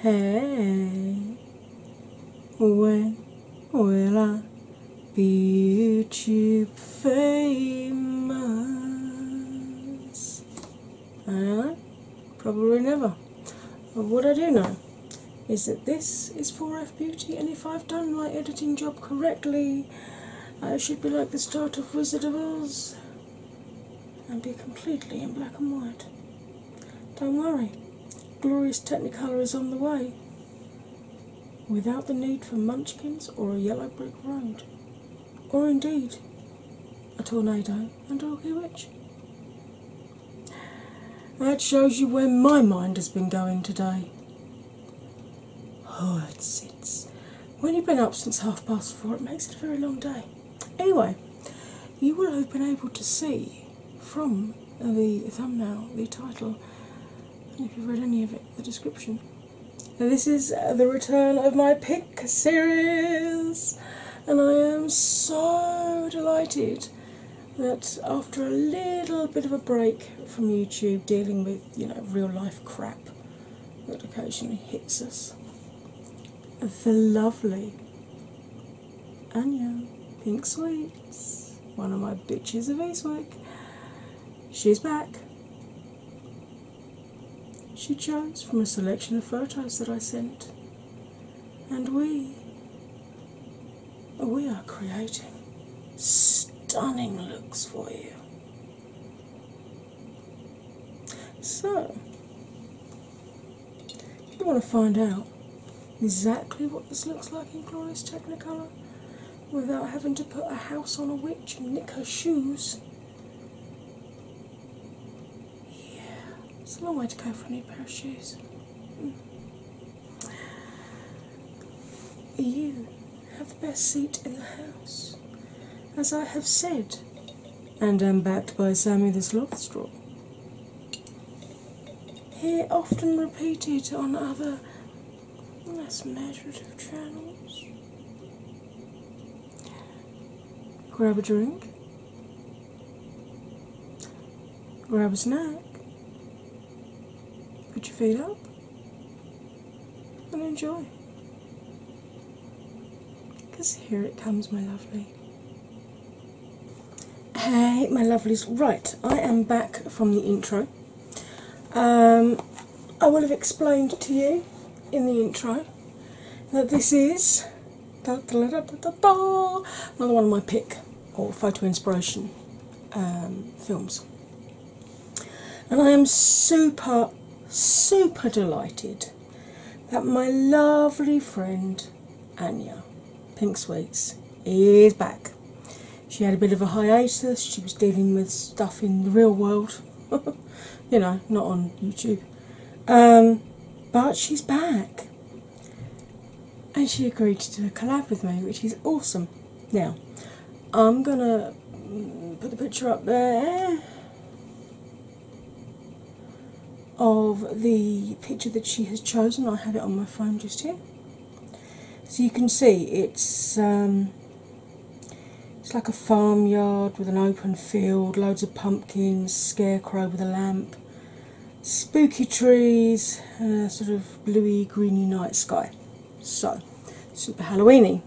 Hey, when will I be you famous. probably never. But uh, what I do know is that this is 4F Beauty, and if I've done my editing job correctly, I should be like the start of Wizard of Oz and be completely in black and white. Don't worry, glorious Technicolor is on the way without the need for munchkins or a yellow brick road or indeed a tornado and a rocky witch. That shows you where my mind has been going today. Oh, it's, it's when you've been up since half past four, it makes it a very long day. Anyway, you will have been able to see from the thumbnail, the title, and if you've read any of it, the description, this is the return of my pick series, and I am so delighted that after a little bit of a break from YouTube dealing with you know real life crap that occasionally hits us, the lovely Anya Pink Sweets, one of my bitches of Eastwick, she's back. She chose from a selection of photos that I sent, and we we are creating stunning looks for you. So, if you want to find out exactly what this looks like in Glorious Technicolor without having to put a house on a witch and nick her shoes, yeah, it's a long way to go for a new pair of shoes. Hmm. You have the best seat in the house, as I have said, and am backed by Sammy the Sloth Straw. he often repeated on other less measurative channels. Grab a drink, grab a snack, put your feet up, and enjoy. Because here it comes, my lovely. Hey, my lovelies. Right, I am back from the intro. Um, I will have explained to you in the intro that this is another one of my pick or photo inspiration um, films. And I am super, super delighted that my lovely friend Anya Pink Sweets is back. She had a bit of a hiatus, she was dealing with stuff in the real world you know, not on YouTube. Um, but she's back. And she agreed to do collab with me, which is awesome. Now, I'm gonna put the picture up there of the picture that she has chosen. I have it on my phone just here. So you can see it's um, it's like a farmyard with an open field, loads of pumpkins, scarecrow with a lamp, spooky trees, and a sort of bluey, greeny night sky. So, super Halloweeny.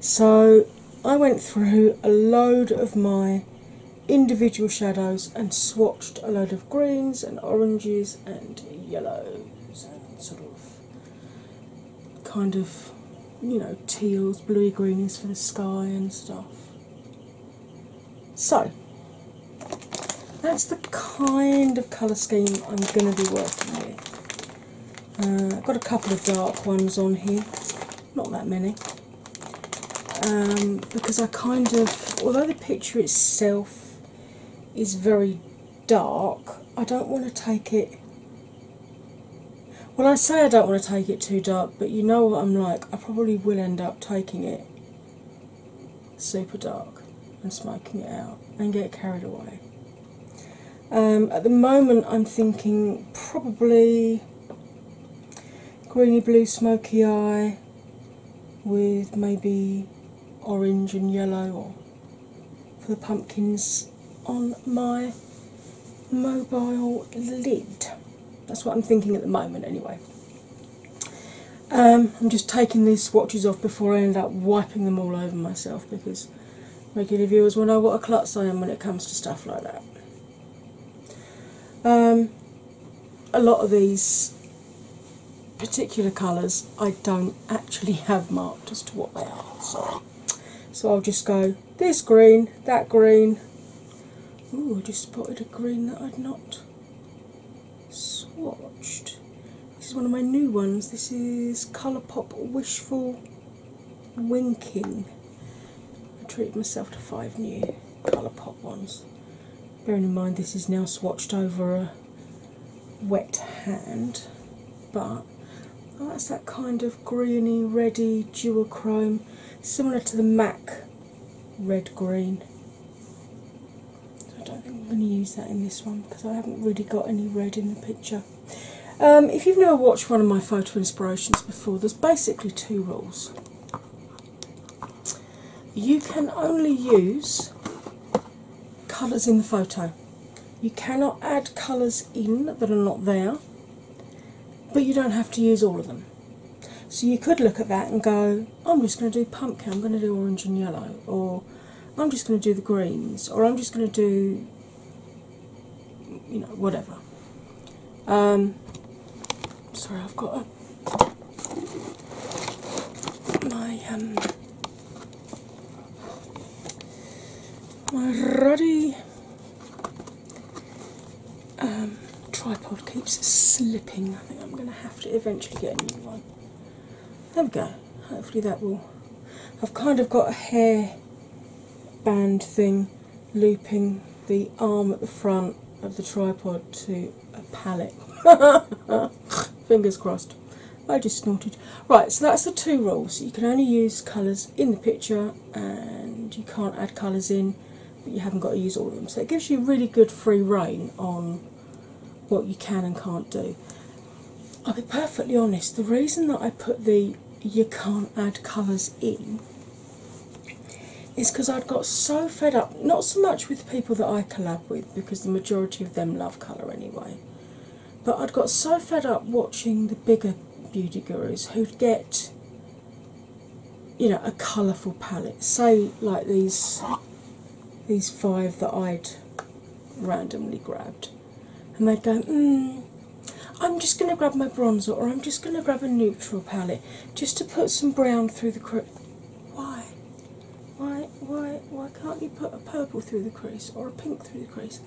So, I went through a load of my individual shadows and swatched a load of greens and oranges and yellows and sort of kind of, you know, teals, bluey greenies for the sky and stuff. So, that's the kind of colour scheme I'm going to be working with. Uh, I've got a couple of dark ones on here, not that many, um, because I kind of, although the picture itself is very dark, I don't want to take it well, I say I don't want to take it too dark, but you know what I'm like, I probably will end up taking it super dark and smoking it out and get carried away. Um, at the moment, I'm thinking probably greeny blue smoky eye with maybe orange and yellow for the pumpkins on my mobile lid. That's what I'm thinking at the moment, anyway. Um, I'm just taking these swatches off before I end up wiping them all over myself because regular viewers will know what a klutz I am when it comes to stuff like that. Um, a lot of these particular colours I don't actually have marked as to what they are, so I'll just go this green, that green. Ooh, I just spotted a green that I'd not swatched. This is one of my new ones. This is Colourpop Wishful Winking. I treated myself to five new Colourpop ones. Bearing in mind this is now swatched over a wet hand but that's that kind of greeny, reddy duochrome, similar to the MAC red green. I don't think I'm going to use that in this one because I haven't really got any red in the picture. Um, if you've never watched one of my photo inspirations before, there's basically two rules. You can only use colours in the photo. You cannot add colours in that are not there, but you don't have to use all of them. So you could look at that and go, I'm just going to do pumpkin, I'm going to do orange and yellow, or I'm just going to do the greens, or I'm just going to do, you know, whatever. Um, sorry, I've got a, my um, my ruddy um, tripod keeps slipping. I think I'm going to have to eventually get a new one. There we go. Hopefully that will. I've kind of got a hair band thing looping the arm at the front of the tripod to a pallet. Fingers crossed. I just snorted. Right, so that's the two rules. You can only use colours in the picture and you can't add colours in, but you haven't got to use all of them. So it gives you really good free reign on what you can and can't do. I'll be perfectly honest, the reason that I put the you can't add colours in is because I'd got so fed up, not so much with people that I collab with, because the majority of them love colour anyway but I'd got so fed up watching the bigger beauty gurus who'd get you know a colourful palette say like these these five that I'd randomly grabbed and they'd go "Hmm, I'm just going to grab my bronzer or I'm just going to grab a neutral palette just to put some brown through the crease why why why why can't you put a purple through the crease or a pink through the crease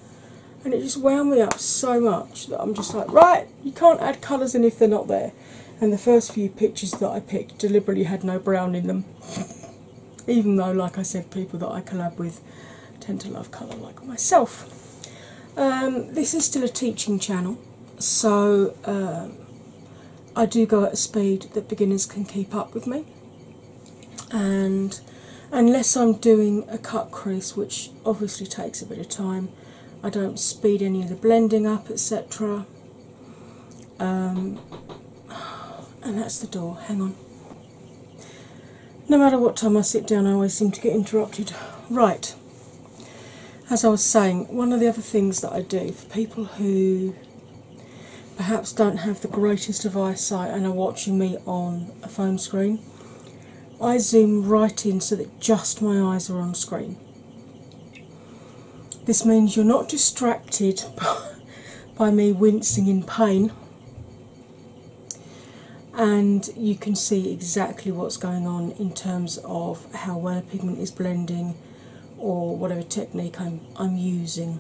and it just wound me up so much that I'm just like, right, you can't add colours in if they're not there. And the first few pictures that I picked deliberately had no brown in them, even though, like I said, people that I collab with tend to love colour like myself. Um, this is still a teaching channel, so um, I do go at a speed that beginners can keep up with me and unless I'm doing a cut crease, which obviously takes a bit of time, I don't speed any of the blending up, etc. Um, and that's the door. Hang on. No matter what time I sit down, I always seem to get interrupted. Right, as I was saying, one of the other things that I do for people who perhaps don't have the greatest of eyesight and are watching me on a phone screen, I zoom right in so that just my eyes are on screen. This means you're not distracted by me wincing in pain, and you can see exactly what's going on in terms of how well a pigment is blending or whatever technique I'm, I'm using.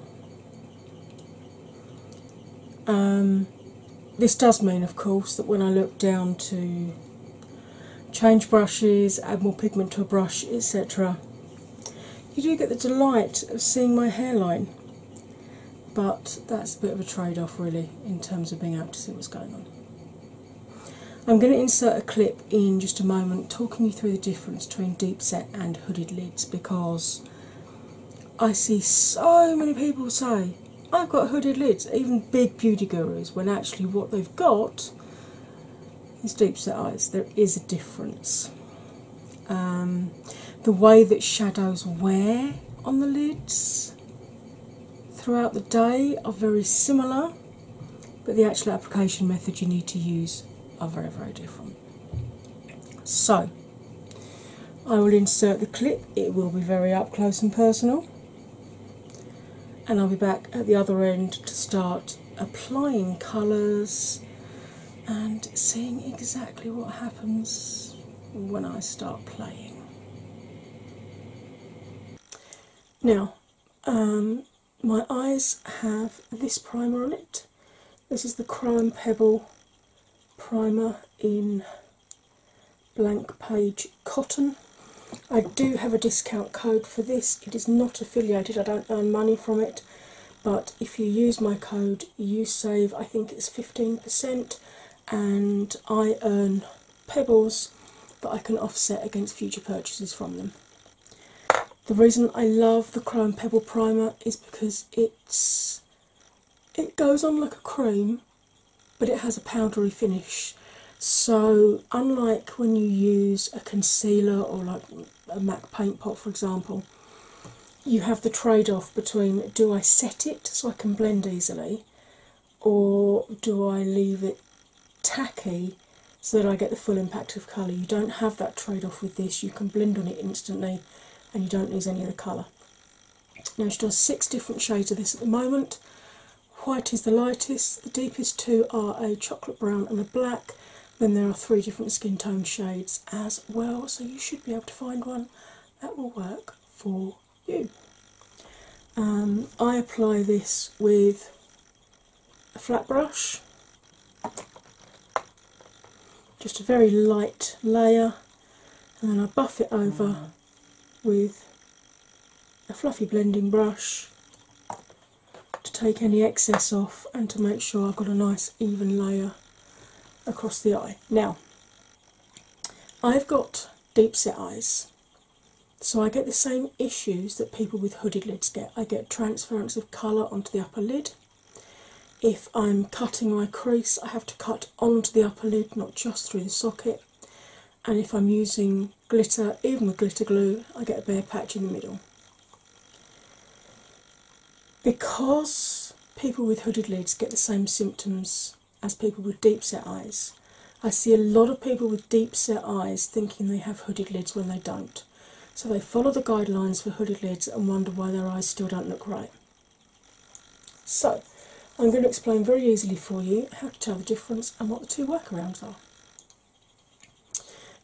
Um, this does mean, of course, that when I look down to change brushes, add more pigment to a brush, etc., you do get the delight of seeing my hairline, but that's a bit of a trade off, really, in terms of being able to see what's going on. I'm going to insert a clip in just a moment talking you through the difference between deep set and hooded lids because I see so many people say, I've got hooded lids, even big beauty gurus, when actually what they've got is deep set eyes. There is a difference. Um, the way that shadows wear on the lids throughout the day are very similar, but the actual application method you need to use are very, very different. So, I will insert the clip, it will be very up close and personal, and I'll be back at the other end to start applying colours and seeing exactly what happens when I start playing. Now, um, my eyes have this primer on it. This is the Crime Pebble primer in Blank Page Cotton. I do have a discount code for this. It is not affiliated, I don't earn money from it, but if you use my code, you save, I think it's 15%, and I earn pebbles that I can offset against future purchases from them. The reason I love the Chrome Pebble Primer is because it's it goes on like a cream but it has a powdery finish. So, unlike when you use a concealer or like a MAC paint pot, for example, you have the trade off between do I set it so I can blend easily, or do I leave it tacky so that I get the full impact of colour? You don't have that trade off with this, you can blend on it instantly and you don't lose any of the colour. Now she does six different shades of this at the moment. White is the lightest, the deepest two are a chocolate brown and a black. Then there are three different skin tone shades as well, so you should be able to find one that will work for you. Um, I apply this with a flat brush, just a very light layer, and then I buff it over with a fluffy blending brush to take any excess off and to make sure I've got a nice even layer across the eye. Now, I've got deep set eyes, so I get the same issues that people with hooded lids get. I get transference of colour onto the upper lid if I'm cutting my crease, I have to cut onto the upper lid, not just through the socket. And if I'm using glitter, even with glitter glue, I get a bare patch in the middle. Because people with hooded lids get the same symptoms as people with deep set eyes, I see a lot of people with deep set eyes thinking they have hooded lids when they don't. So they follow the guidelines for hooded lids and wonder why their eyes still don't look right. So, I'm going to explain very easily for you how to tell the difference and what the two workarounds are.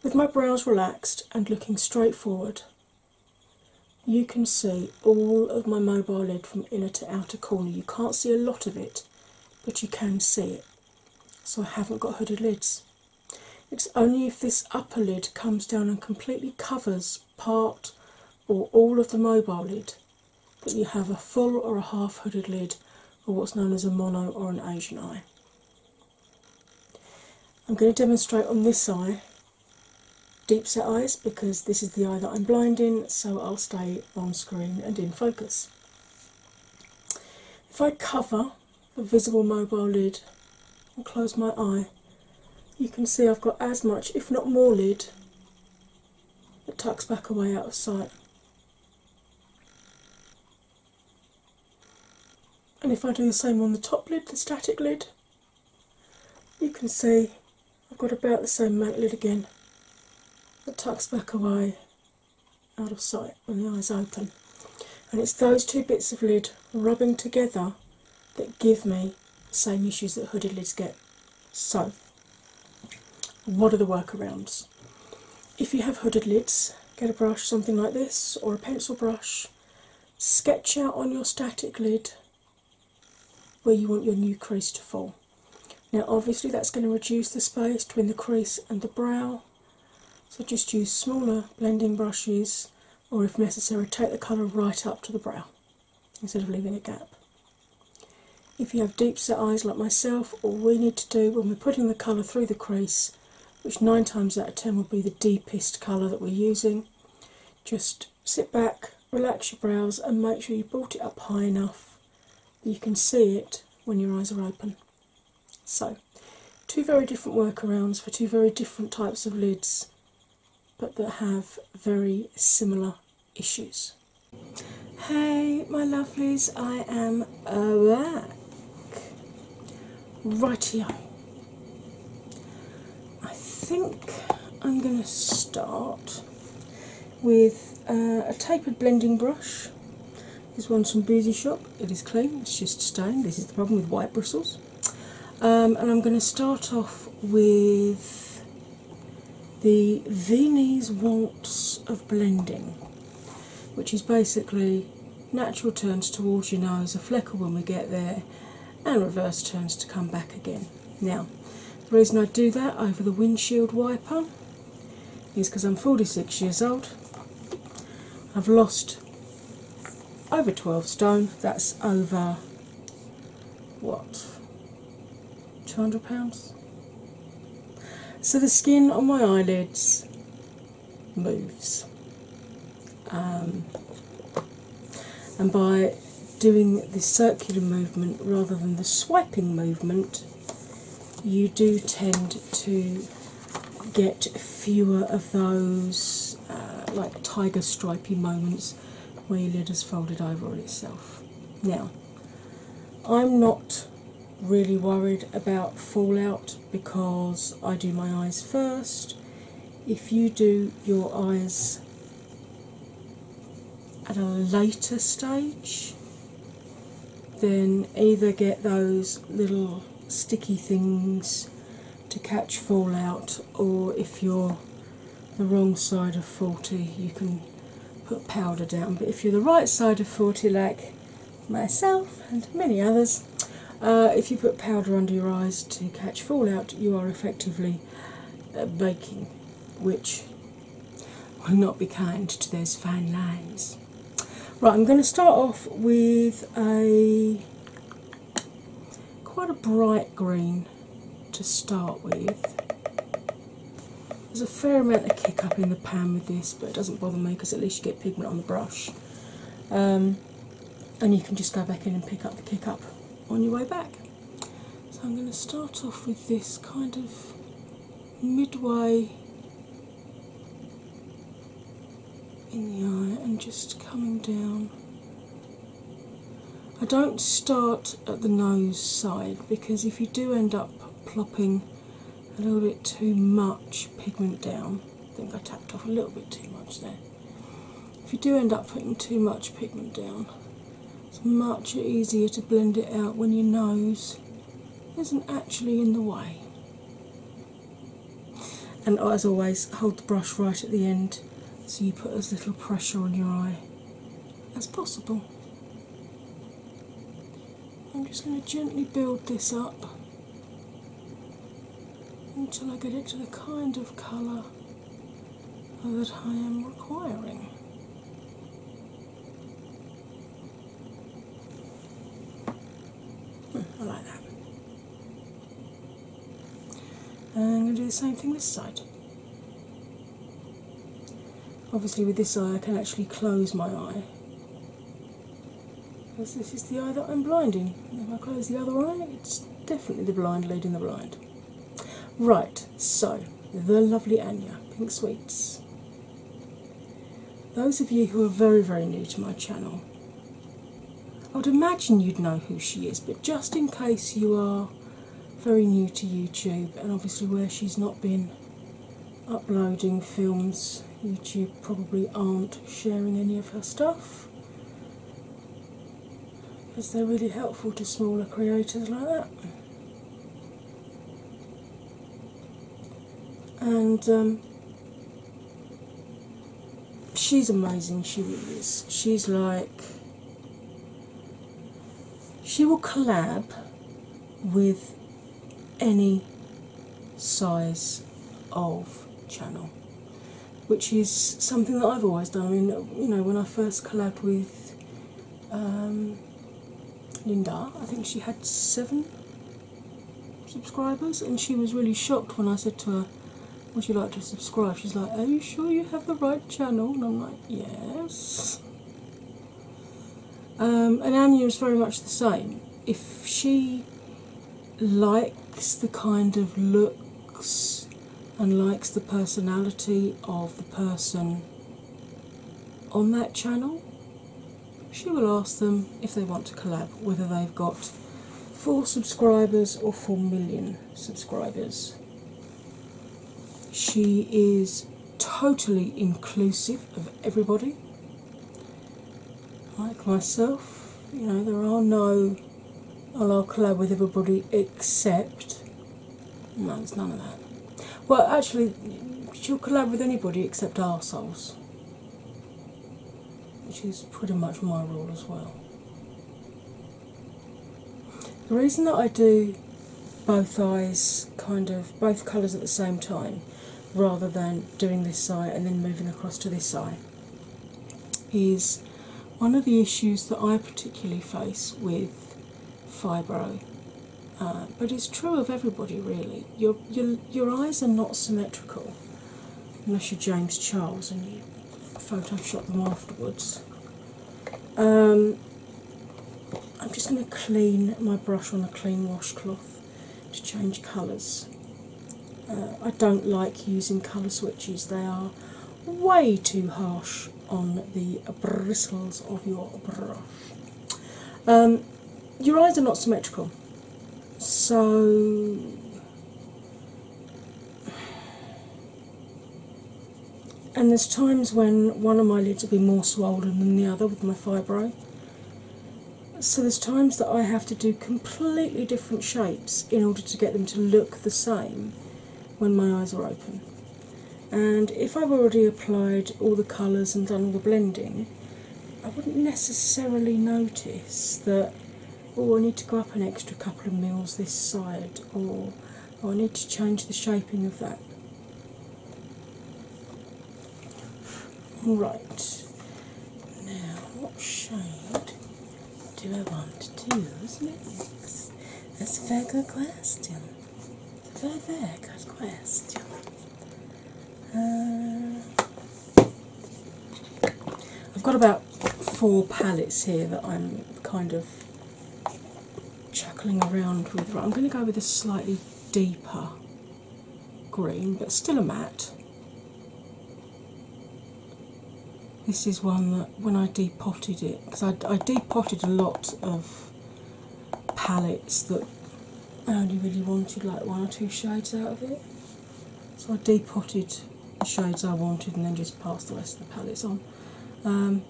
With my brows relaxed and looking straight forward, you can see all of my mobile lid from inner to outer corner. You can't see a lot of it, but you can see it. So, I haven't got hooded lids. It's only if this upper lid comes down and completely covers part or all of the mobile lid, but you have a full or a half hooded lid, or what's known as a mono or an Asian eye. I'm going to demonstrate on this eye deep set eyes because this is the eye that I'm blind in, so I'll stay on screen and in focus. If I cover the visible mobile lid and close my eye, you can see I've got as much, if not more, lid it tucks back away out of sight. And if I do the same on the top lid, the static lid, you can see I've got about the same mount lid again It tucks back away out of sight when the eyes open. And it's those two bits of lid rubbing together that give me the same issues that hooded lids get. So, what are the workarounds? If you have hooded lids, get a brush, something like this, or a pencil brush, sketch out on your static lid where you want your new crease to fall. Now, obviously, that's going to reduce the space between the crease and the brow, so just use smaller blending brushes, or if necessary, take the colour right up to the brow instead of leaving a gap. If you have deep set eyes like myself, all we need to do when we're putting the colour through the crease, which nine times out of ten will be the deepest colour that we're using, just sit back, relax your brows, and make sure you brought it up high enough that you can see it when your eyes are open. So, two very different workarounds for two very different types of lids, but that have very similar issues. Hey, my lovelies, I am back. here. I think I'm going to start with uh, a tapered blending brush. This one's from Boozy Shop. It is clean, it's just stained. This is the problem with white bristles. Um, and I'm going to start off with the Viennese Waltz of Blending, which is basically natural turns towards you know as a flecker when we get there, and reverse turns to come back again. Now, the reason I do that over the windshield wiper is because I'm 46 years old, I've lost over 12 stone, that's over what? £200? So the skin on my eyelids moves. Um, and by doing the circular movement rather than the swiping movement, you do tend to get fewer of those uh, like tiger stripy moments where your lid has folded over on itself. Now, I'm not really worried about fallout because I do my eyes first. If you do your eyes at a later stage, then either get those little sticky things to catch fallout, or if you're the wrong side of 40, you can put powder down. But if you're the right side of 40, like myself and many others, uh, if you put powder under your eyes to catch fallout, you are effectively uh, baking, which will not be kind to those fine lines. Right, I'm going to start off with a quite a bright green to start with. There's a fair amount of kick up in the pan with this, but it doesn't bother me because at least you get pigment on the brush. Um, and you can just go back in and pick up the kick up on your way back. So I'm going to start off with this kind of midway in the eye and just coming down I don't start at the nose side because if you do end up plopping a little bit too much pigment down, I think I tapped off a little bit too much there. If you do end up putting too much pigment down, it's much easier to blend it out when your nose isn't actually in the way. And as always, hold the brush right at the end so you put as little pressure on your eye as possible. I'm just going to gently build this up until I get it to the kind of colour that I am requiring. Hmm, I like that. And I'm going to do the same thing this side. Obviously, with this eye, I can actually close my eye because this is the eye that I'm blinding. If I close the other eye, it's definitely the blind leading the blind. Right, so the lovely Anya, Pink Sweets. Those of you who are very, very new to my channel, I would imagine you'd know who she is, but just in case you are very new to YouTube, and obviously, where she's not been uploading films, YouTube probably aren't sharing any of her stuff because they're really helpful to smaller creators like that. And um, she's amazing, she is. She's like she will collab with any size of channel, which is something that I've always done. I mean, you know, when I first collab with um, Linda, I think she had seven subscribers, and she was really shocked when I said to her, Would you like to subscribe? She's like, Are you sure you have the right channel? And I'm like, yes. Um, and Anya is very much the same. If she likes the kind of looks and likes the personality of the person on that channel, she will ask them if they want to collab, whether they've got four subscribers or four million subscribers. She is totally inclusive of everybody. Like myself, you know, there are no, I'll collab with everybody except. No, there's none of that. Well, actually, she'll collab with anybody except arseholes, which is pretty much my rule as well. The reason that I do both eyes, kind of both colours at the same time, rather than doing this eye and then moving across to this eye, is one of the issues that I particularly face with fibro. Uh, but it's true of everybody really. Your, your, your eyes are not symmetrical unless you're James Charles and you photoshop them afterwards. Um, I'm just going to clean my brush on a clean washcloth to change colours. Uh, I don't like using colour switches, they are way too harsh on the bristles of your brush. Um, your eyes are not symmetrical, so and there's times when one of my lids will be more swollen than the other with my fibro. So there's times that I have to do completely different shapes in order to get them to look the same when my eyes are open. And if I've already applied all the colours and done all the blending, I wouldn't necessarily notice that, oh, I need to go up an extra couple of mils this side, or I need to change the shaping of that. Alright, now what shade do I want to use next? That's a very good question. It's glass. very, very uh, I've got about four palettes here that I'm kind of chuckling around with. I'm going to go with a slightly deeper green, but still a matte. This is one that when I depotted it, because I depotted a lot of palettes that I only really wanted like one or two shades out of it. So I depotted the shades I wanted and then just passed the rest of the palettes on. Um,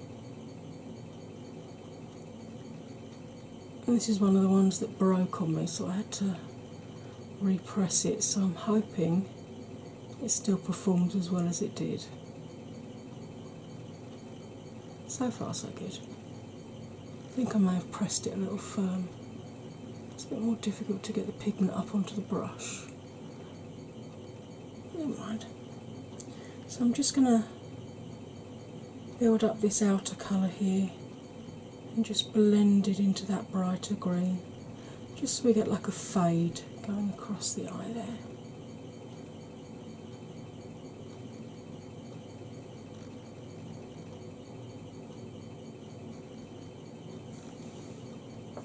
this is one of the ones that broke on me, so I had to repress it. So I'm hoping it still performs as well as it did. So far, so good. I think I may have pressed it a little firm. It's a bit more difficult to get the pigment up onto the brush. Never mind. So I'm just going to build up this outer colour here and just blend it into that brighter green, just so we get like a fade going across the eye there.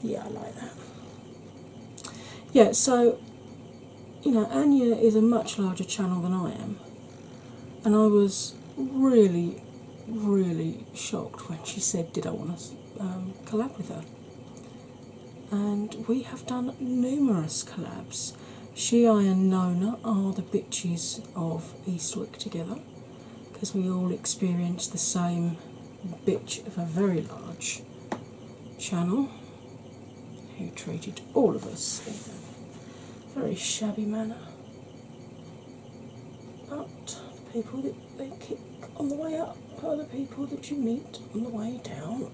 Yeah, I like that. Yeah, so you know, Anya is a much larger channel than I am, and I was really, really shocked when she said, Did I want to um, collab with her? And we have done numerous collabs. She, I, and Nona are the bitches of Eastwick together because we all experience the same bitch of a very large channel who treated all of us in a very shabby manner. But the people that they kick on the way up are the people that you meet on the way down.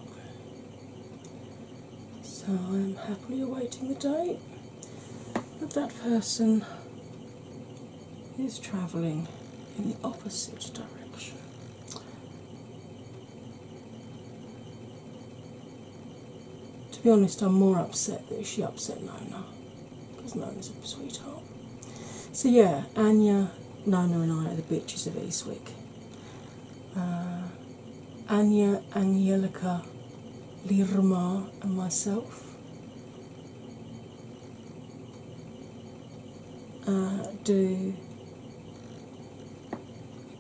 So I'm happily awaiting the day that that person is travelling in the opposite direction. To be honest, I'm more upset that she upset Nona because Nona's a sweetheart. So, yeah, Anya, Nona, and I are the bitches of Eastwick. Uh, Anya, Angelica, Lirma, and myself. Uh, do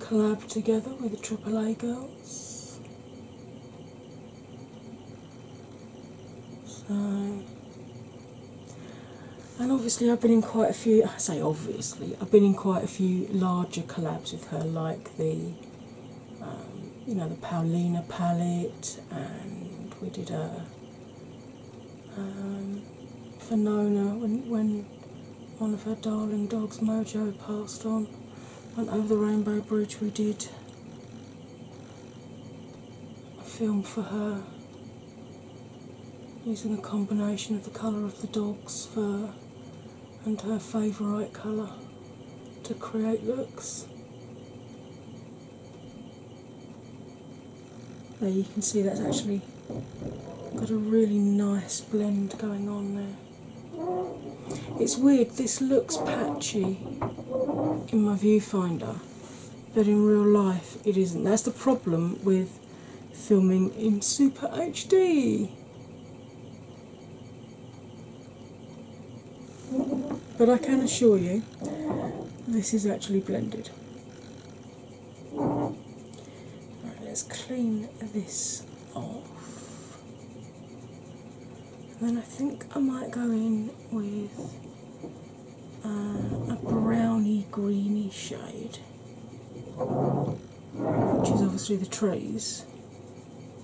collab together with the Triple A girls. So, and obviously, I've been in quite a few. I say obviously, I've been in quite a few larger collabs with her, like the, um, you know, the Paulina palette, and we did a um, for Nona when, when one of her darling dogs, Mojo, passed on. And over the Rainbow Bridge, we did a film for her using a combination of the colour of the dog's fur and her favourite colour to create looks. There you can see that's actually got a really nice blend going on there. It's weird, this looks patchy in my viewfinder, but in real life it isn't. That's the problem with filming in Super HD. But I can assure you, this is actually blended. Right, let's clean this off. And then I think I might go in with uh, a browny greeny shade, which is obviously the trees,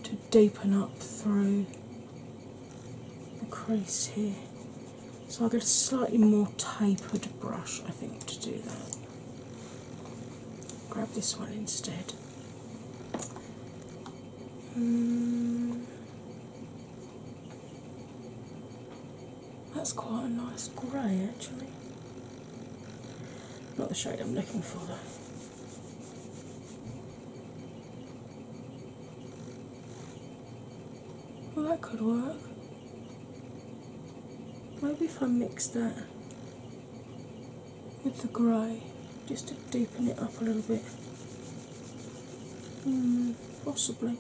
to deepen up through the crease here. So I'll get a slightly more tapered brush, I think, to do that. Grab this one instead. Hmm. that's quite a nice grey actually. Not the shade I'm looking for though. Well, that could work. Maybe if I mix that with the grey just to deepen it up a little bit. Mm, possibly.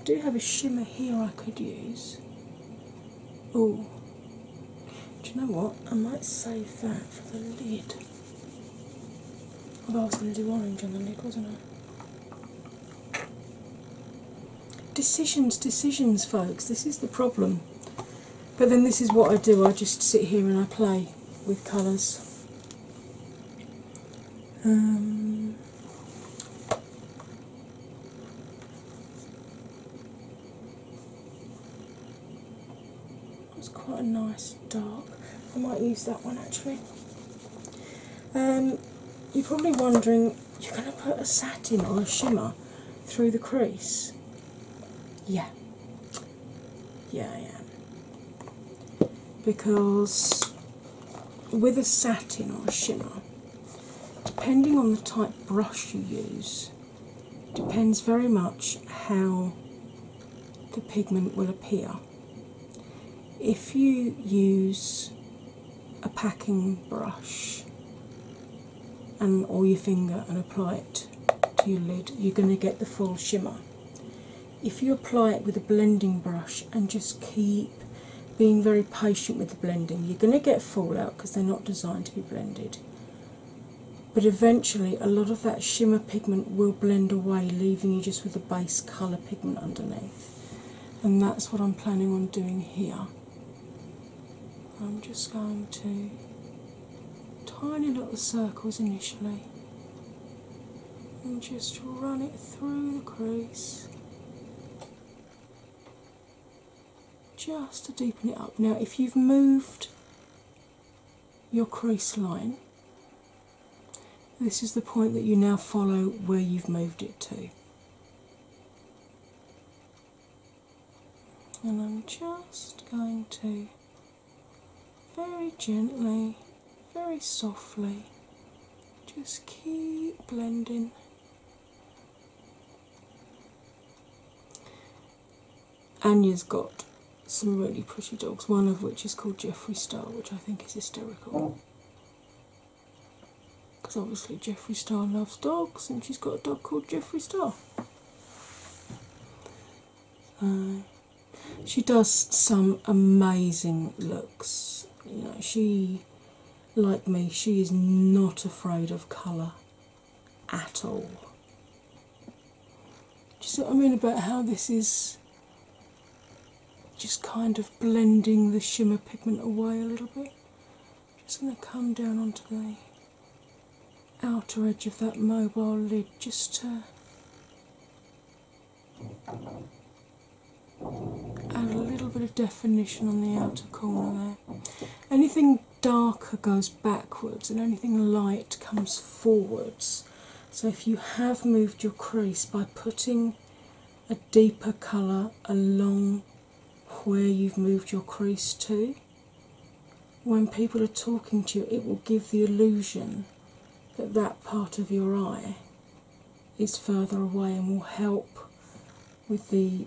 I do have a shimmer here I could use. Oh, do you know what? I might save that for the lid. Although I was going to do orange on the lid, wasn't I? Decisions, decisions, folks. This is the problem. But then, this is what I do I just sit here and I play with colours. Um, it's quite a nice dark. I might use that one actually. Um, you're probably wondering you're going to put a satin or a shimmer through the crease? Yeah. Yeah, yeah. Because with a satin or a shimmer, depending on the type brush you use, depends very much how the pigment will appear. If you use a packing brush and or your finger and apply it to your lid, you're going to get the full shimmer. If you apply it with a blending brush and just keep being very patient with the blending, you're going to get fallout because they're not designed to be blended. But eventually, a lot of that shimmer pigment will blend away, leaving you just with the base colour pigment underneath and that's what I'm planning on doing here. I'm just going to tiny little circles initially and just run it through the crease just to deepen it up. Now, if you've moved your crease line, this is the point that you now follow where you've moved it to and I'm just going to very gently, very softly, just keep blending. Anya's got some really pretty dogs, one of which is called Jeffree Star, which I think is hysterical because obviously Jeffree Star loves dogs, and she's got a dog called Jeffree Star. Uh, she does some amazing looks. she, like me, she is not afraid of colour at all. Do you see what I mean about how this is just kind of blending the shimmer pigment away a little bit? Just going to come down onto the outer edge of that mobile lid just to add a little bit of definition on the outer corner there. Anything darker goes backwards and anything light comes forwards. So if you have moved your crease by putting a deeper colour along where you've moved your crease to. When people are talking to you, it will give the illusion that that part of your eye is further away and will help with the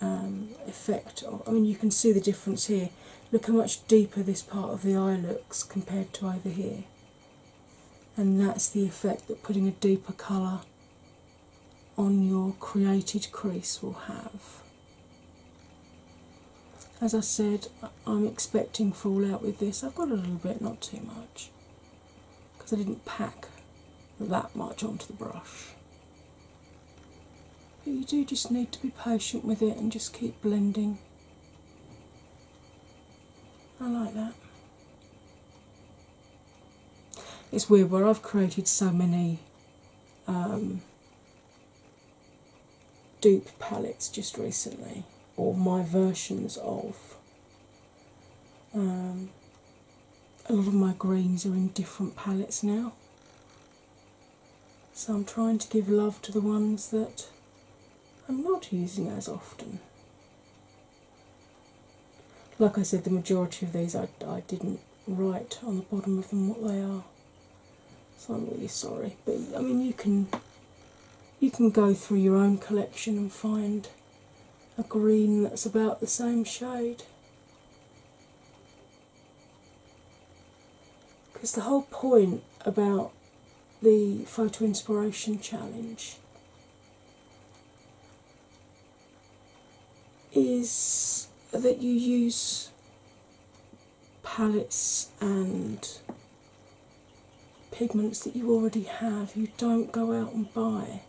um, effect. Of, I mean, you can see the difference here. Look how much deeper this part of the eye looks compared to over here. And that's the effect that putting a deeper colour on your created crease will have. As I said, I'm expecting fallout with this. I've got a little bit, not too much, because I didn't pack that much onto the brush. But you do just need to be patient with it and just keep blending. I like that. It's weird where I've created so many um, dupe palettes just recently, or my versions of. Um, a lot of my greens are in different palettes now. So I'm trying to give love to the ones that I'm not using as often. Like I said, the majority of these I, I didn't write on the bottom of them what they are, so I'm really sorry. But I mean, you can you can go through your own collection and find a green that's about the same shade. Because the whole point about the photo inspiration challenge is that you use palettes and pigments that you already have. You don't go out and buy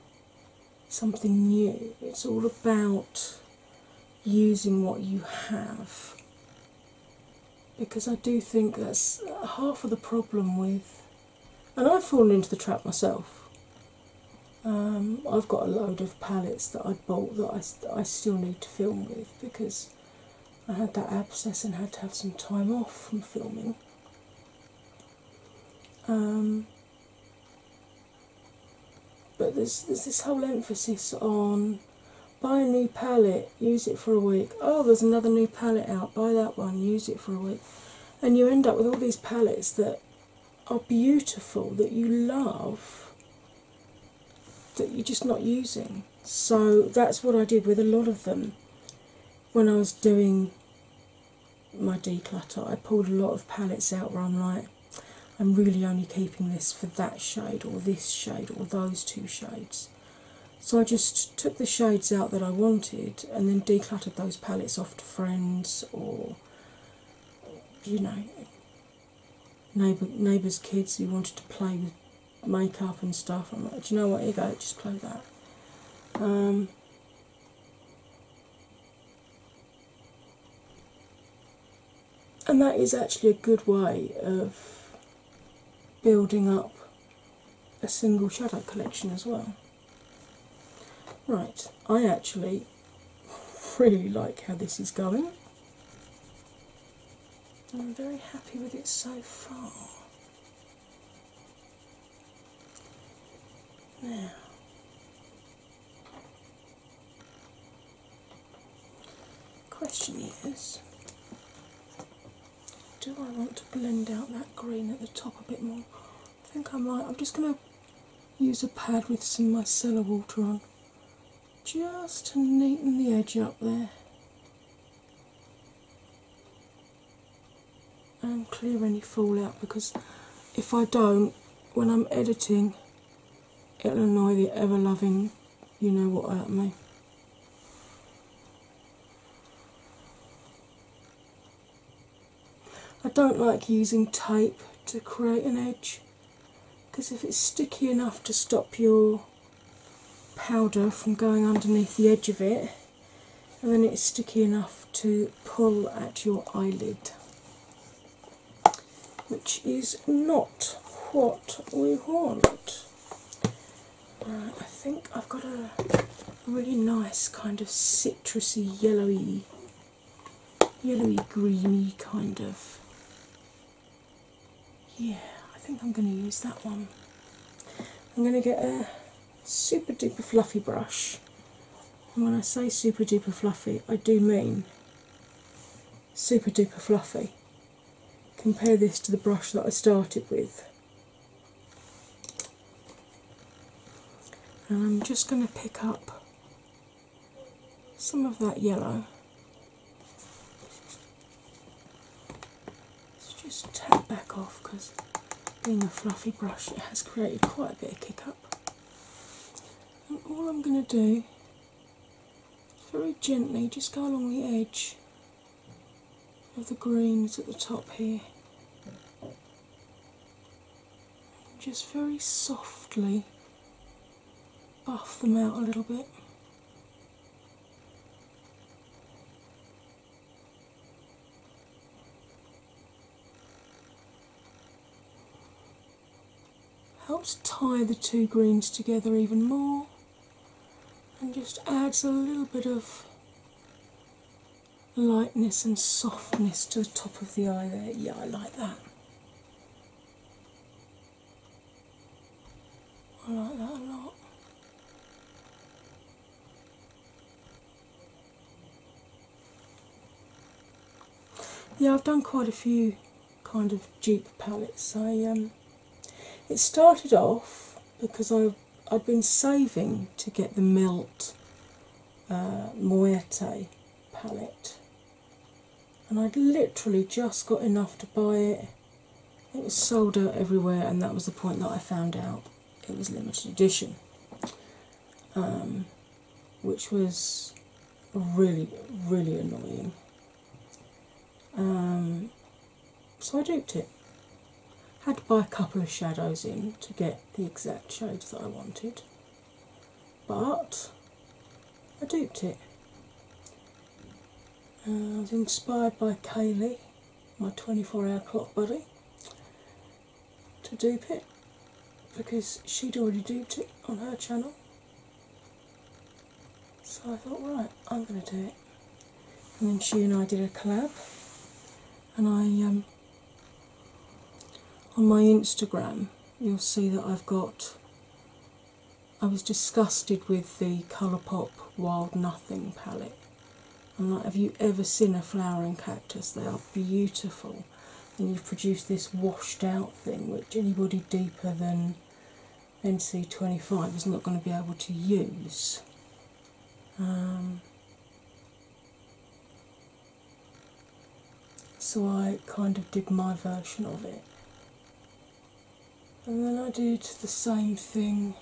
something new. It's all about using what you have. Because I do think that's half of the problem with and I've fallen into the trap myself. Um, I've got a load of palettes that I bought that I, still need to film with because I had that abscess and had to have some time off from filming. Um, but there's this whole emphasis on buy a new palette, use it for a week. Oh, there's another new palette out, buy that one, use it for a week. And you end up with all these palettes that are beautiful, that you love, that you're just not using. So that's what I did with a lot of them when I was doing my declutter. I pulled a lot of palettes out where I'm like, I'm really only keeping this for that shade, or this shade, or those two shades. So I just took the shades out that I wanted and then decluttered those palettes off friends or you know neighbor neighbors' kids who wanted to play with makeup and stuff. I'm like, do you know what? You go, just play that. Um, and that is actually a good way of building up a single shadow collection as well. Right, I actually really like how this is going. I'm very happy with it so far. Now, question is do I want to blend out that green at the top a bit more I think I might. I'm just going to use a pad with some micellar water on just to neaten the edge up there and clear any fallout because if I don't, when I'm editing, it'll annoy the ever loving you know what out of me. I don't like using tape to create an edge because if it's sticky enough to stop your powder from going underneath the edge of it, and then it's sticky enough to pull at your eyelid, which is not what we want. I think I've got a really nice kind of citrusy, yellowy, yellowy, greeny kind of. Yeah, I think I'm going to use that one. I'm going to get a super duper fluffy brush, when I say super duper fluffy, I do mean super duper fluffy. Compare this to the brush that I started with and I'm just going to pick up some of that yellow. just tap back off because being a fluffy brush it has created quite a bit of kick up. And all I'm going to do very gently just go along the edge of the greens at the top here just very softly buff them out a little bit. Helps tie the two greens together even more and just adds a little bit of lightness and softness to the top of the eye there. Yeah, I like that. I like that a lot. Yeah, I've done quite a few kind of dupe palettes. I um, it started off because I I'd been saving to get the melt uh, palette, and I'd literally just got enough to buy it. It was sold out everywhere, and that was the point that I found out it was limited edition, um, which was really, really annoying. Um, so I duped it. Had to buy a couple of shadows in to get the exact shape that I wanted, but I duped it. Uh, I was inspired by Kaylee, my 24 hour clock buddy, to dupe it because she'd already duped it on her channel. So I thought, right, I'm going to do it. And then she and I did a collab and I um, on my Instagram you'll see that I've got. I was disgusted with the ColourPop Wild Nothing palette. I'm like, have you ever seen a flowering cactus? They are beautiful, and you've produced this washed out thing which anybody deeper than NC25 is not going to be able to use. Um, so I kind of did my version of it. And then I did the same thing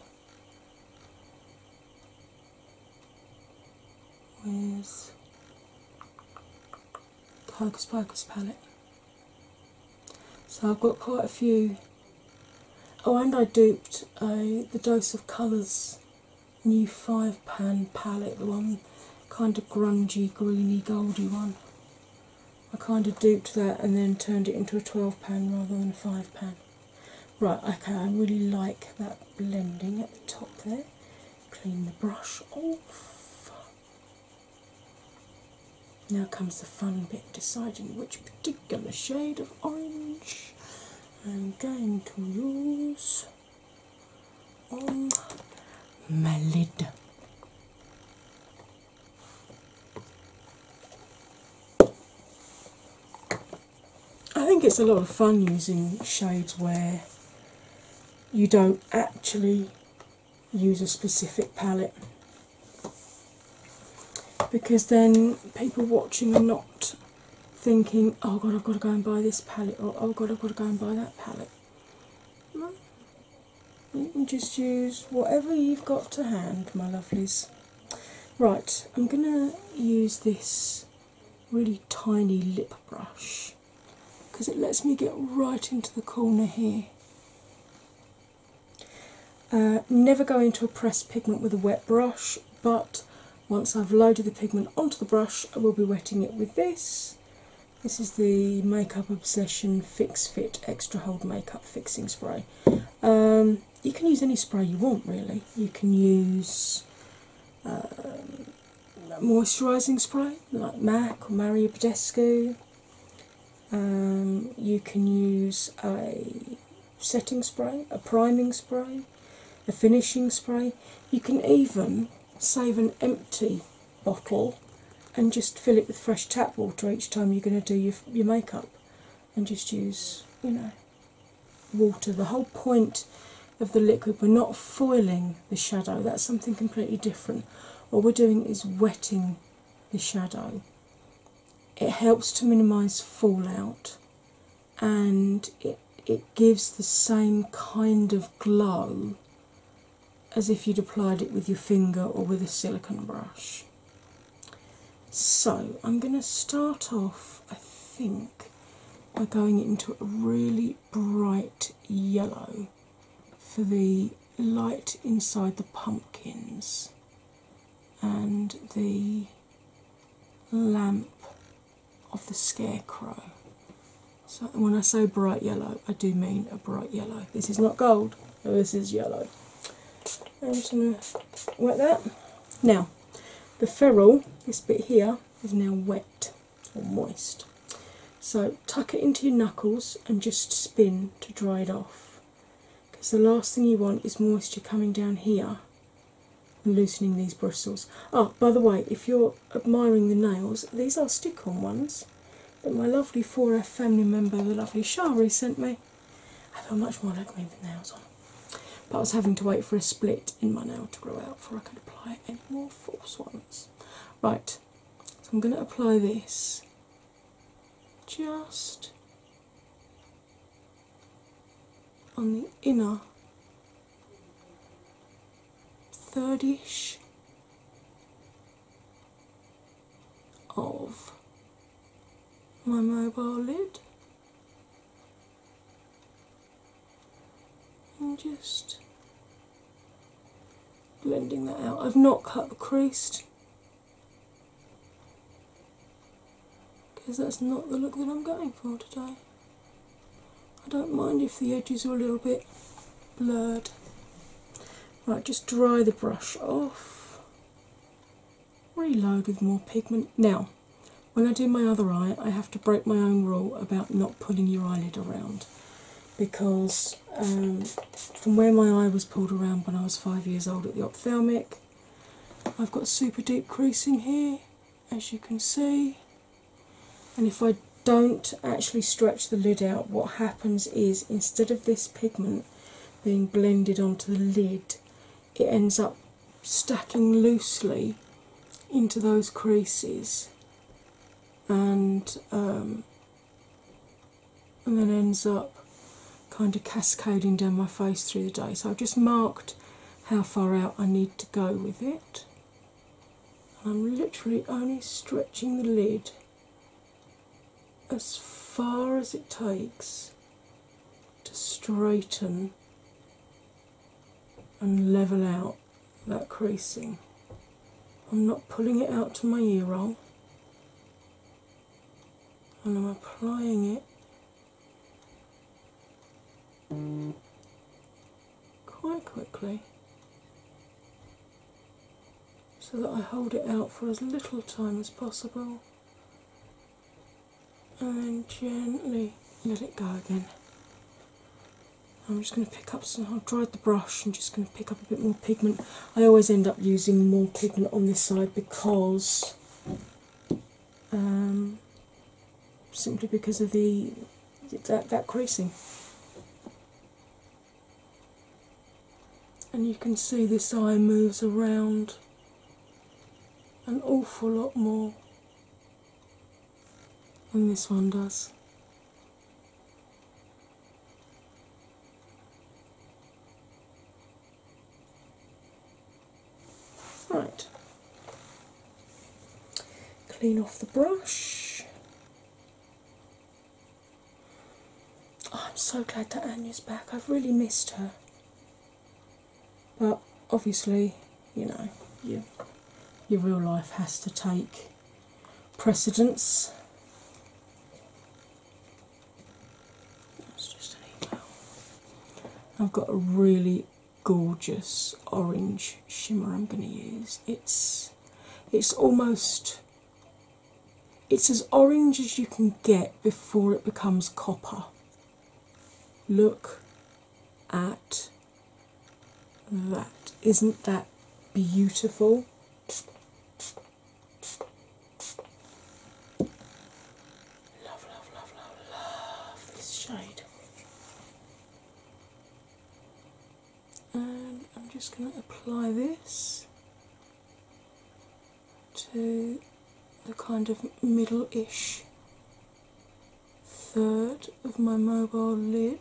with the Hocus Pocus palette. So I've got quite a few. Oh, and I duped a uh, the Dose of Colours new five pan palette, one kind of grungy, greeny, goldy one. I kind of duped that and then turned it into a 12 pan rather than a 5 pan. Right, okay, I really like that blending at the top there. Clean the brush off. Now comes the fun bit deciding which particular shade of orange I'm going to use my lid. I think it's a lot of fun using shades where you don't actually use a specific palette because then people watching are not thinking, oh god, I've got to go and buy this palette, oh god, I've got to go and buy that palette. You can just use whatever you've got to hand, my lovelies. Right, I'm going to use this really tiny lip brush because it lets me get right into the corner here. Uh, never go into a pressed pigment with a wet brush, but once I've loaded the pigment onto the brush, I will be wetting it with this. This is the Makeup Obsession Fix Fit Extra Hold Makeup Fixing Spray. Um, you can use any spray you want, really. You can use um, moisturising spray like MAC or Mario Badescu. Um, you can use a setting spray, a priming spray a finishing spray. You can even save an empty bottle and just fill it with fresh tap water each time you're going to do your, makeup and just use, you know, water. The whole point of the liquid, we're not foiling the shadow, that's something completely different. What we're doing is wetting the shadow. It helps to minimise fallout and it it gives the same kind of glow as if you'd applied it with your finger or with a silicone brush. So I'm going to start off, I think, by going into a really bright yellow for the light inside the pumpkins and the lamp of the scarecrow. So when I say bright yellow, I do mean a bright yellow. This is not gold, this is yellow. I'm just going to wet that. Now, the ferrule, this bit here, is now wet or moist. So tuck it into your knuckles and just spin to dry it off. Because the last thing you want is moisture coming down here loosening these bristles. Oh, by the way, if you're admiring the nails, these are stick on ones that my lovely 4F family member, the lovely Shari, sent me. I feel much more like me with nails on. But I was having to wait for a split in my nail to grow out before I could apply any more false ones. Right, I'm going to apply this just on the inner Thirdish of my mobile lid and just blending that out. I've not cut the crease because that's not the look that I'm going for today. I don't mind if the edges are a little bit blurred. Right, just dry the brush off. Reload with more pigment. Now, when I do my other eye, I have to break my own rule about not pulling your eyelid around because um, from where my eye was pulled around when I was five years old at the ophthalmic, I've got super deep creasing here as you can see. And if I don't actually stretch the lid out, what happens is instead of this pigment being blended onto the lid, it ends up stacking loosely into those creases and um, then ends up kind of cascading down my face through the day. So I've just marked how far out I need to go with it. I'm literally only stretching the lid as far as it takes to straighten and level out that creasing. I'm not pulling it out to my ear roll, and I'm applying it quite quickly so that I hold it out for as little time as possible and then gently let it go again. I'm just going to pick up some, I've dried the brush I'm just going to pick up a bit more pigment. I always end up using more pigment on this side because um, simply because of the that, that creasing. And you can see this eye moves around an awful lot more than this one does. Right, Clean off the brush. Oh, I'm so glad that Anya's back. I've really missed her. But obviously, you know, you, your real life has to take precedence. That's just an email. I've got a really gorgeous orange shimmer I'm going to use. It's it's almost it's as orange as you can get before it becomes copper. Look at that. Isn't that beautiful? Love, love, love, love, love this shade and I'm just going to apply this to the kind of middle ish third of my mobile lid,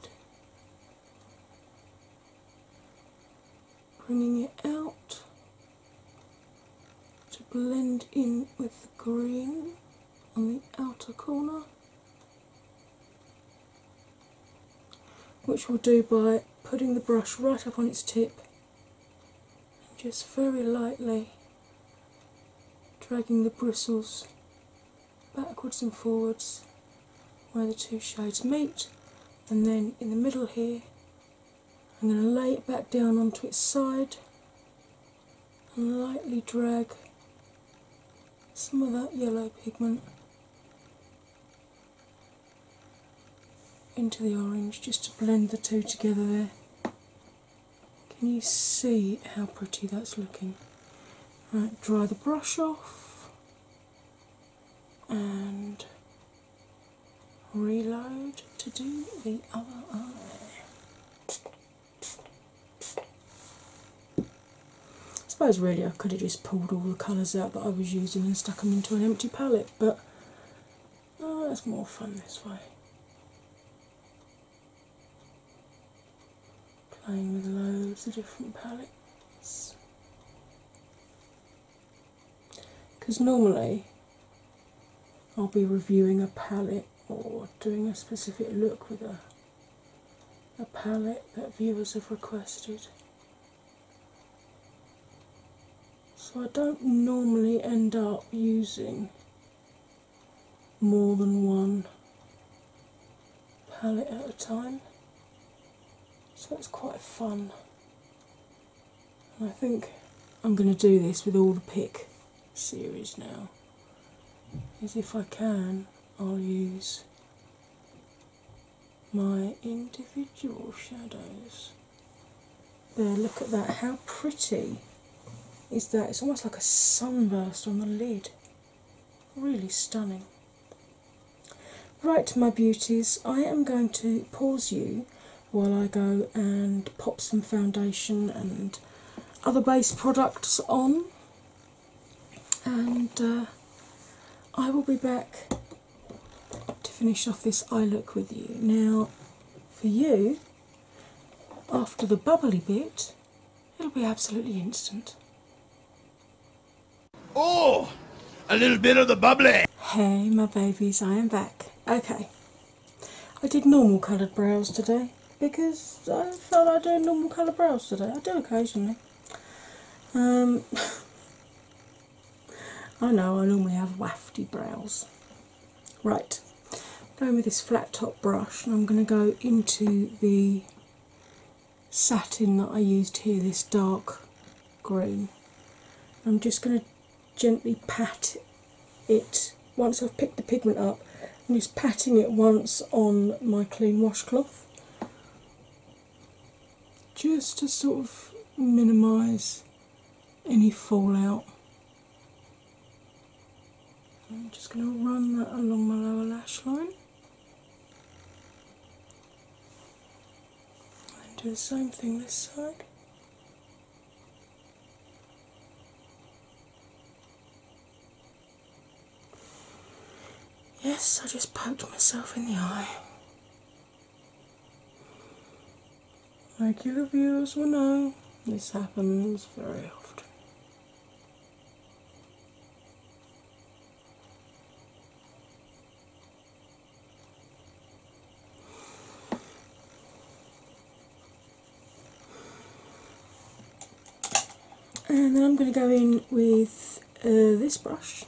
bringing it out to blend in with the green on the outer corner, which we'll do by putting the brush right up on its tip and just very lightly dragging the bristles backwards and forwards where the two shades meet and then in the middle here I'm going to lay it back down onto its side and lightly drag some of that yellow pigment into the orange just to blend the two together there. Can you see how pretty that's looking? dry the brush off and reload to do the other eye. I suppose really I could have just pulled all the colours out that I was using and stuck them into an empty palette, but oh, that's more fun this way. Playing with loads of different palettes. Because normally I'll be reviewing a palette or doing a specific look with a a palette that viewers have requested. So I don't normally end up using more than one palette at a time, so it's quite fun. I think I'm going to do this with all the pick series now is if I can, I'll use my individual shadows. There, look at that. How pretty is that? It's almost like a sunburst on the lid. Really stunning. Right, my beauties, I am going to pause you while I go and pop some foundation and other base products on and uh, I will be back to finish off this eye look with you. Now, for you, after the bubbly bit, it'll be absolutely instant. Oh, a little bit of the bubbly! Hey, my babies, I am back. Okay, I did normal coloured brows today because I felt like do normal colour brows today. I do occasionally. Um, I know I normally have wafty brows. Right, going with this flat top brush, and I'm going to go into the satin that I used here, this dark green. I'm just going to gently pat it once I've picked the pigment up. I'm just patting it once on my clean washcloth just to sort of minimize any fallout. I'm just going to run that along my lower lash line and do the same thing this side. Yes, I just poked myself in the eye. Regular viewers will know this happens very often. And then I'm going to go in with uh, this brush.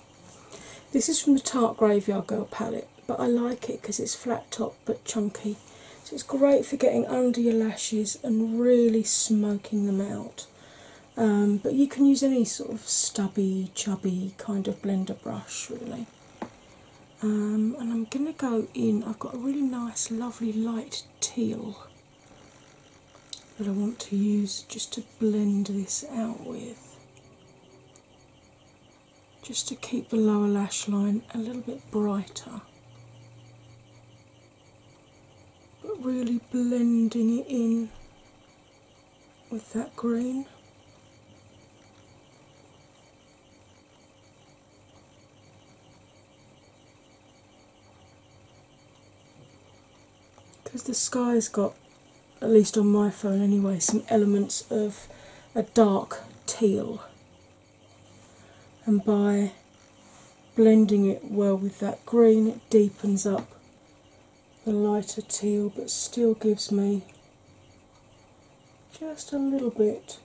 This is from the Tarte Graveyard Girl palette, but I like it because it's flat top but chunky. So it's great for getting under your lashes and really smoking them out. Um, but you can use any sort of stubby, chubby kind of blender brush really. Um, and I'm going to go in, I've got a really nice, lovely light teal that I want to use just to blend this out with. Just to keep the lower lash line a little bit brighter, but really blending it in with that green because the sky's got, at least on my phone anyway, some elements of a dark teal, and by blending it well with that green, it deepens up the lighter teal but still gives me just a little bit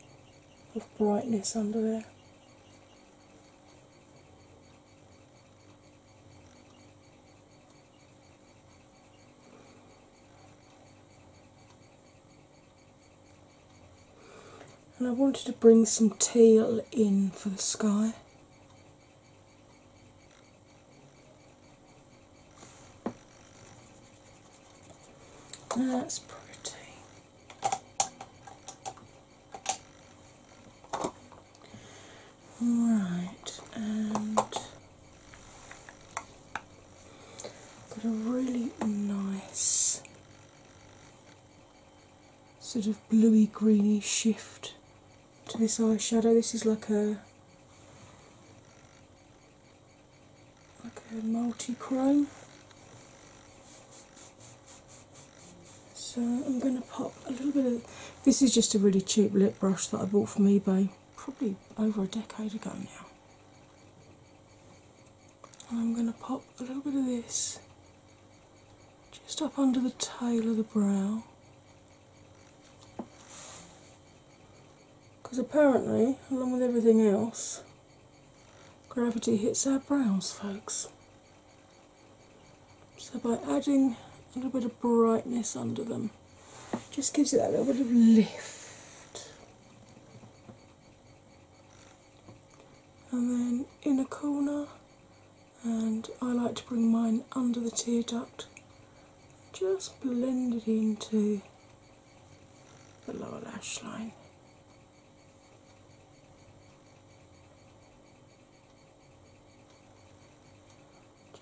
of brightness under there. And I wanted to bring some teal in for the sky. That's pretty. Right, got a really nice sort of bluey greeny shift to this eyeshadow. This is like a like a multi chrome. So I'm going to pop a little bit of this is just a really cheap lip brush that I bought from eBay probably over a decade ago now. And I'm going to pop a little bit of this just up under the tail of the brow. Because apparently, along with everything else, Gravity hits our brows, folks. So, by adding a little bit of brightness under them, just gives it that little bit of lift. And then in a corner, and I like to bring mine under the tear duct, just blend it into the lower lash line.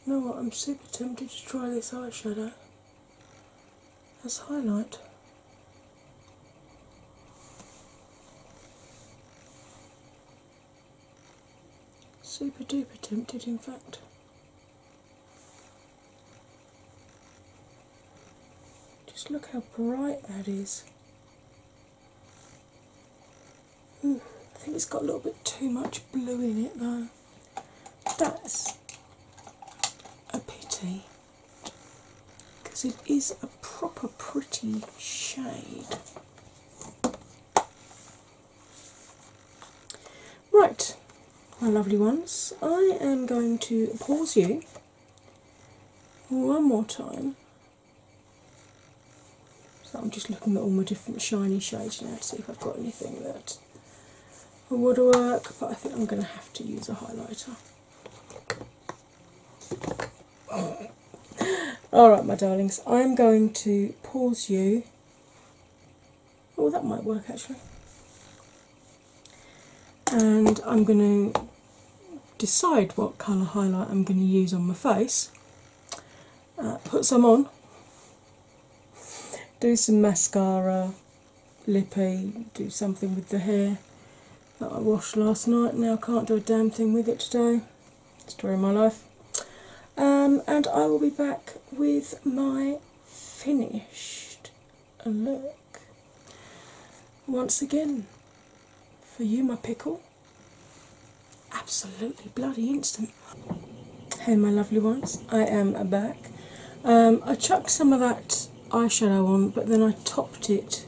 Do you know what? I'm super tempted to try this eyeshadow as highlight. Super duper tempted, in fact. Just look how bright that is. Hmm, I think it's got a little bit too much blue in it though. That's a pity because it is a proper pretty shade. Right, my lovely ones, I am going to pause you one more time so I'm just looking at all my different shiny shades now to see if I've got anything that would work, but I think I'm going to have to use a highlighter. Alright, my darlings, I'm going to pause you. Oh, that might work actually. And I'm going to decide what colour highlight I'm going to use on my face, uh, put some on, do some mascara, lippy, do something with the hair that I washed last night. Now can't do a damn thing with it today. Story of my life. Um, and I will be back with my finished look. Once again, for you, my pickle, absolutely bloody instant. Hey, my lovely ones, I am back. Um, I chucked some of that eyeshadow on, but then I topped it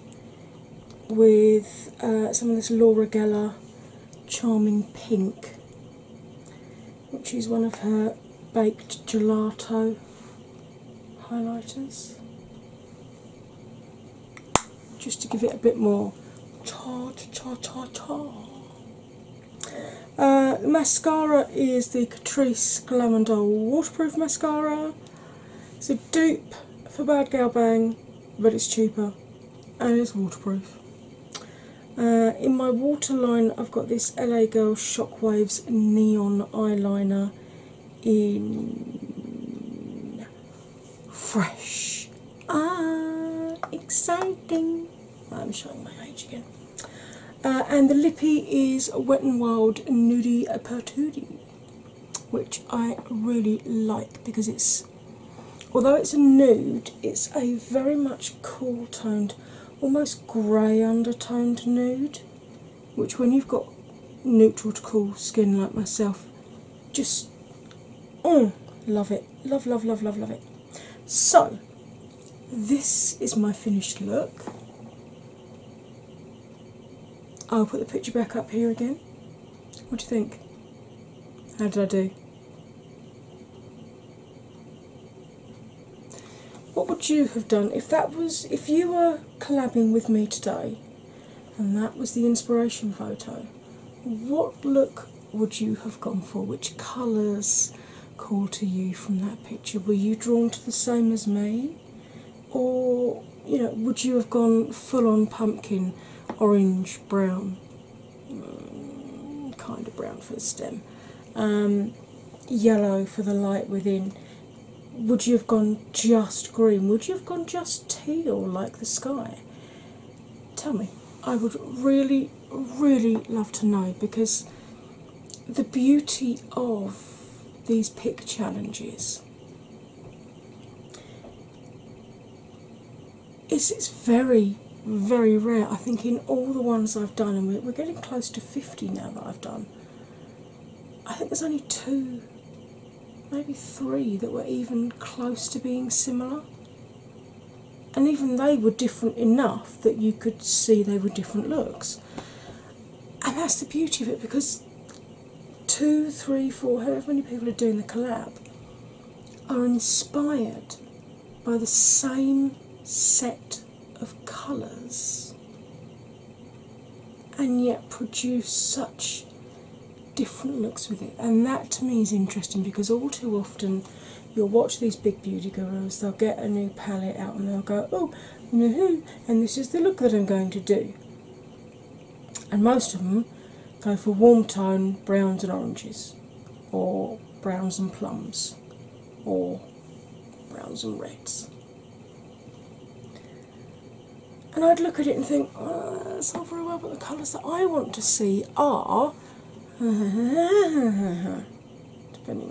with uh, some of this Laura Geller Charming Pink, which is one of her baked gelato highlighters just to give it a bit more uh, mascara is the Catrice Glamondol Waterproof Mascara. It's a dupe for Bad Gal Bang, but it's cheaper and it's waterproof. Uh, in my waterline, I've got this LA Girl Shockwaves Neon Eyeliner in fresh. Ah, exciting. I'm showing my age again. Uh, and the lippy is Wet n Wild Nudie Pertudi, which I really like because it's, although it's a nude, it's a very much cool toned, almost grey undertoned nude which when you've got neutral to cool skin like myself, just oh love it. Love, love, love, love, love it. So this is my finished look. I'll put the picture back up here again. What do you think? How did I do? What would you have done if that was if you were collabing with me today and that was the inspiration photo. What look would you have gone for? Which colours called to you from that picture? Were you drawn to the same as me? Or, you know, would you have gone full on pumpkin, orange, brown, mm, kind of brown for the stem, um, yellow for the light within? would you have gone just green? Would you have gone just teal like the sky? Tell me. I would really, really love to know because the beauty of these pick challenges is it's very, very rare. I think in all the ones I've done, and we're, we're getting close to 50 now that I've done, I think there's only two maybe three that were even close to being similar. And even they were different enough that you could see they were different looks. And that's the beauty of it because two, three, four, however many people are doing the collab are inspired by the same set of colours and yet produce such different looks with it. And that to me is interesting because all too often you'll watch these big beauty gurus, they'll get a new palette out and they'll go, oh, no, mm-hmm, and this is the look that I'm going to do. And most of them go for warm tone browns and oranges, or browns and plums, or browns and reds and I'd look at it and think, oh, not very well, but the colours that I want to see are, depending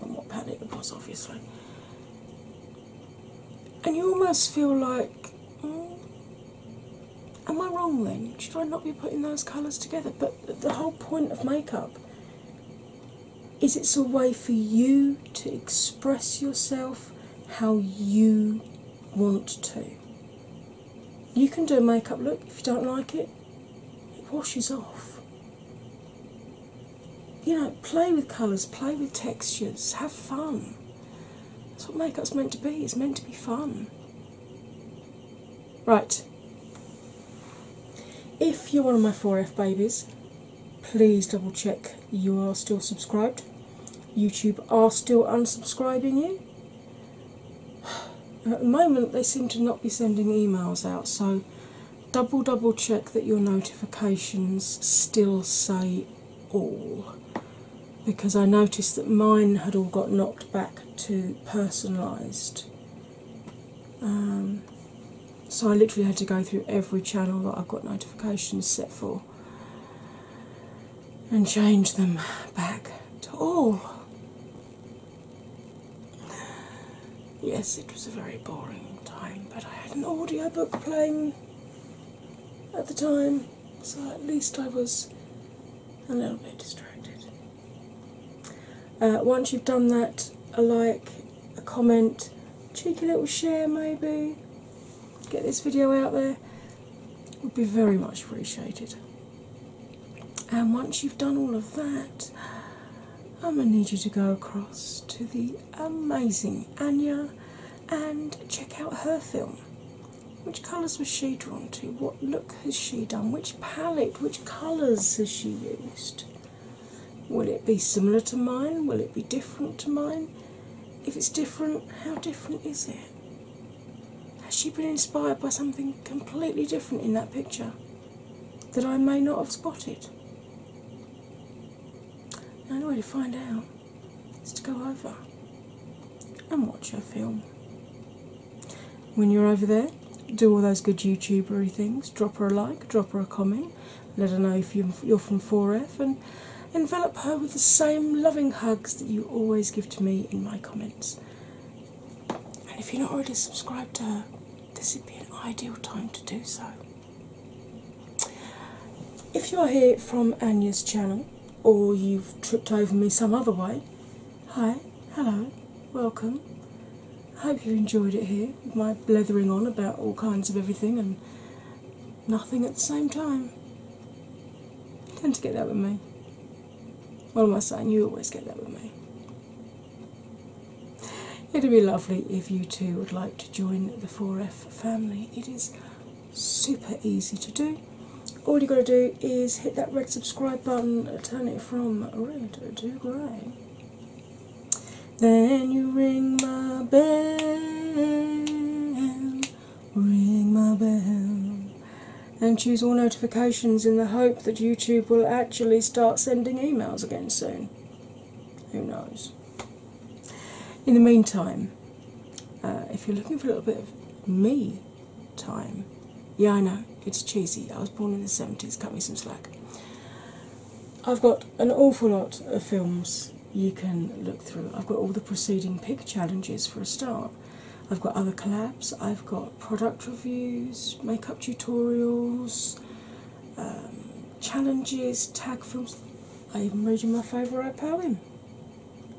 on what palette it was, obviously. And you almost feel like, hmm, am I wrong then? Should I not be putting those colours together? But the whole point of makeup is it's a way for you to express yourself how you want to. You can do a makeup look if you don't like it, it washes off. You know, play with colours, play with textures, have fun. That's what makeup's meant to be, it's meant to be fun. Right. If you're one of my 4F babies, please double check you are still subscribed. YouTube are still unsubscribing you. At the moment, they seem to not be sending emails out, so double double check that your notifications still say all because I noticed that mine had all got knocked back to personalised. Um, so I literally had to go through every channel that I've got notifications set for and change them back to all. Yes, it was a very boring time, but I had an audiobook playing at the time, so at least I was a little bit distracted. Uh, once you've done that, a like, a comment, cheeky little share maybe, get this video out there would be very much appreciated. And once you've done all of that, I'm going to need you to go across to the amazing Anya and check out her film. Which colours was she drawn to? What look has she done? Which palette? Which colours has she used? Will it be similar to mine? Will it be different to mine? If it's different, how different is it? Has she been inspired by something completely different in that picture that I may not have spotted? The only way to find out is to go over and watch her film. When you're over there, do all those good YouTubery things. Drop her a like, drop her a comment, let her know if you're from 4F, and envelop her with the same loving hugs that you always give to me in my comments. And if you're not already subscribed to her, this would be an ideal time to do so. If you're here from Anya's channel or you've tripped over me some other way, hi, hello, welcome. I hope you enjoyed it here, my blathering on about all kinds of everything and nothing at the same time. tend to get that with me. What am I saying? You always get that with me. It'd be lovely if you two would like to join the 4F family. It is super easy to do. All you got to do is hit that red subscribe button, turn it from red to grey. Then you ring my bell ring my bell and choose all notifications in the hope that YouTube will actually start sending emails again soon. Who knows? In the meantime, uh, if you're looking for a little bit of me time, yeah, I know, it's cheesy. I was born in the 70s, cut me some slack. I've got an awful lot of films you can look through. I've got all the preceding pick challenges for a start. I've got other collabs, I've got product reviews, makeup tutorials, um, challenges, tag films. I'm reading my favourite poem.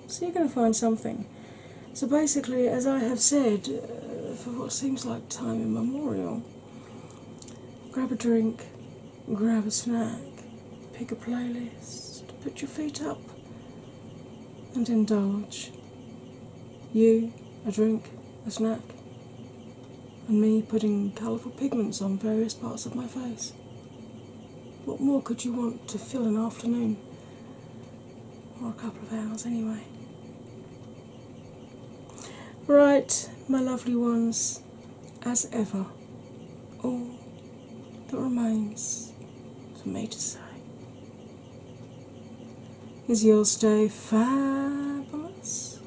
So you're going to find something. So basically, as I have said uh, for what seems like time immemorial, grab a drink, grab a snack, pick a playlist, put your feet up, and indulge. You, a drink, a snack, and me putting colourful pigments on various parts of my face. What more could you want to fill an afternoon? Or a couple of hours, anyway. Right, my lovely ones, as ever, all that remains for me to say is your stay fabulous,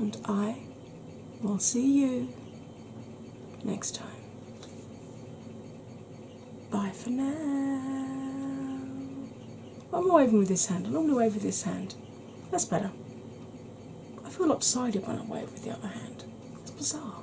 and I will see you next time. Bye for now. I'm waving with this hand. I am going to wave with this hand. That's better. I feel lopsided when I wave with the other hand. It's bizarre.